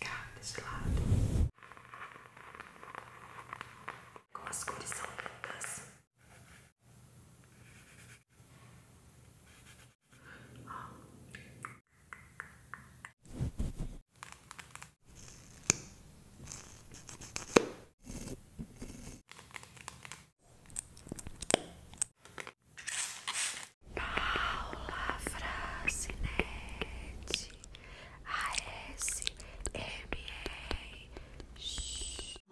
Cá desse lado, com as cores são lindas. Ó. Paula Fracinete ASMR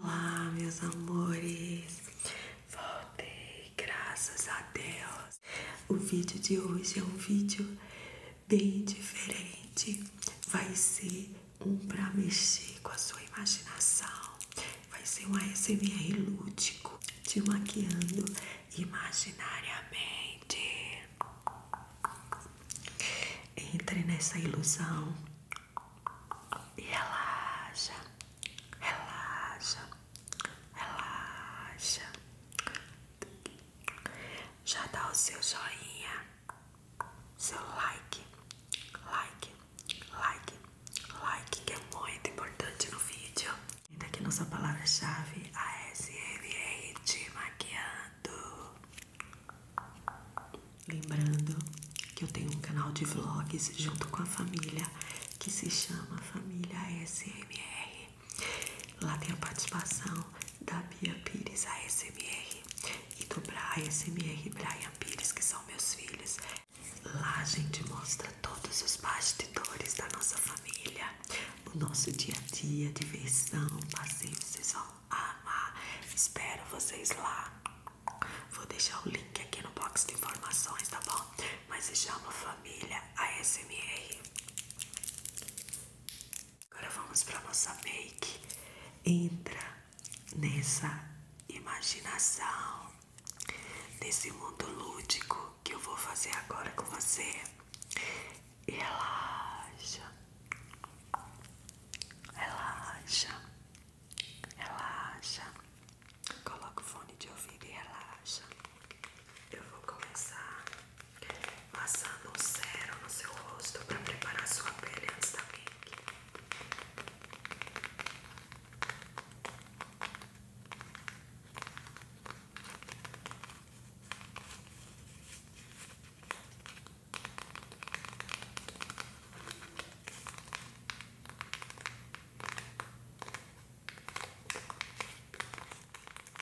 Olá, meus amores Voltei, graças a Deus O vídeo de hoje é um vídeo bem diferente. Vai ser um para mexer com a sua imaginação. Vai ser um ASMR lúdico, te maquiando imaginariamente. Entre nessa ilusão e relaxa, relaxa, relaxa. Já dá o seu joinha, seu like, like, like, like, que é muito importante no vídeo. E daqui nossa palavra-chave, ASMR de maquiando. Lembrando que eu tenho um canal de vlogs junto com a família que se chama Família ASMR. Lá tem a participação da Bia Pires, a SMR, e do Brian SMR e Brian Pires, que são meus filhos. Lá a gente mostra todos os bastidores da nossa família, o nosso dia a dia, diversão, passeio, vocês vão amar. Espero vocês lá. Vou deixar o link aqui no box de informações, tá bom? Mas se chama Família ASMR. Agora vamos para a nossa make. Entra nessa imaginação, nesse mundo lúdico que eu vou fazer agora com você. Relaxa, relaxa, relaxa. Coloca o fone de ouvido e relaxa. Eu vou começar Passando o sérum no seu rosto para preparar sua pele antes da make.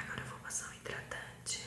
Agora vou passar um hidratante.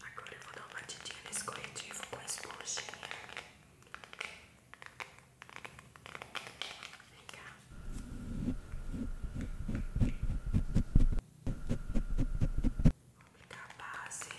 Agora eu vou dar uma batidinha nesse corretivo com a esponjinha. Vem cá. Vou aplicar a base.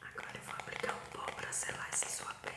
Agora eu vou aplicar um pó para selar essa sua pele.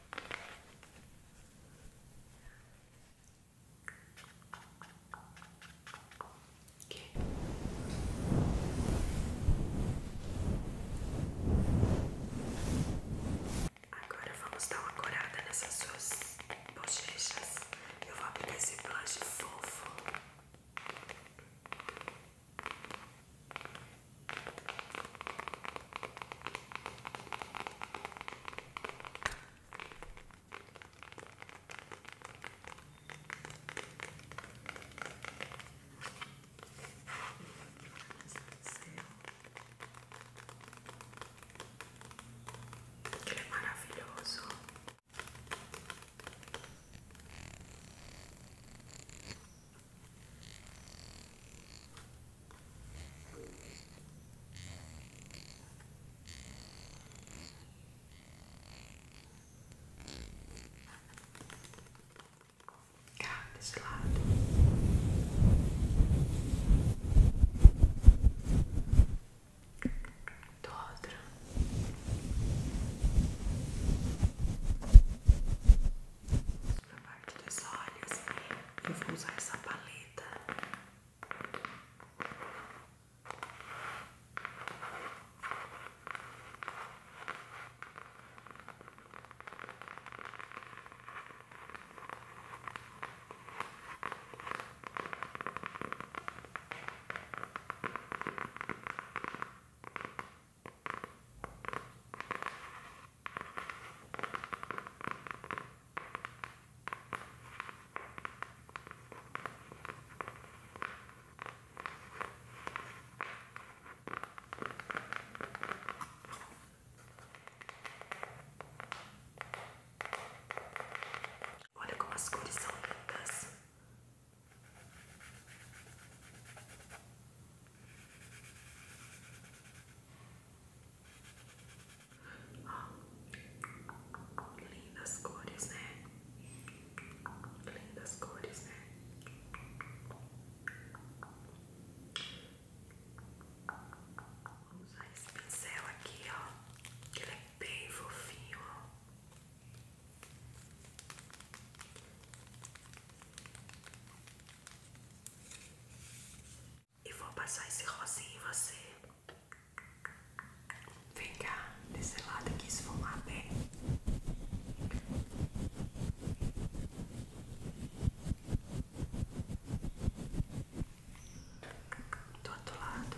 Agora vamos dar uma corada nessas suas bochechas. Eu vou aplicar esse blush fofo. Ele é maravilhoso. Cá desse lado. Do outro. Na parte dos olhos, eu vou usar essa paleta. Olha como as cores são lindas lindas cores, né? Lindas cores, né? vamos usar esse pincel aqui, ó. Que ele é bem fofinho, e vou passar esse rosinho em você. Vem cá, desse lado aqui, esfumar bem. Do outro lado.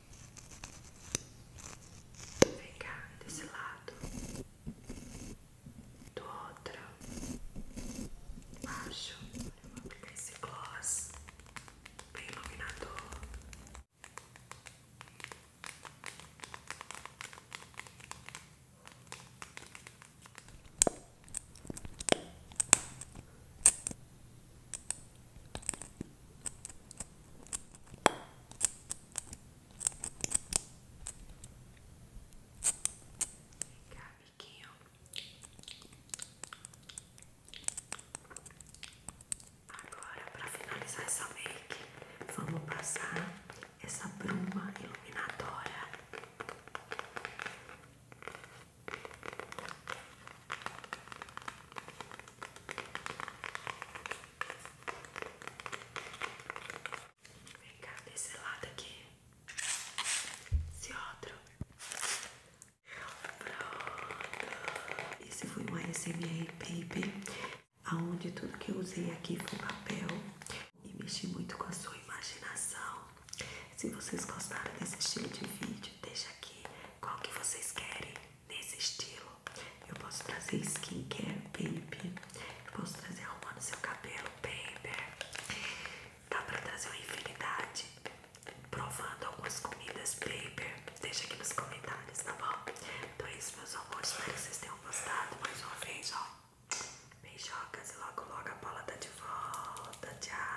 Vem cá, desse lado, do outro, baixo. Eu vou aplicar esse gloss bem iluminador. Cá, biquinho. Agora, para finalizar essa make, vamos passar essa bruma iluminadora. Vem cá, desse lado aqui. Esse outro. Pronto. Esse foi um ASMR Paper, aonde tudo que eu usei aqui foi papel e mexi muito com a sua imaginação. Se vocês gostaram desse estilo de vídeo, deixa aqui qual que vocês querem nesse estilo. Eu posso trazer skincare, baby. Eu posso trazer arrumando seu cabelo, baby. Dá pra trazer uma infinidade. Provando algumas comidas, baby. Deixa aqui nos comentários, tá bom? Então é isso, meus amor Espero que vocês tenham gostado. Mais uma vez, ó. Beijocas e logo, logo a bola tá de volta. Tchau.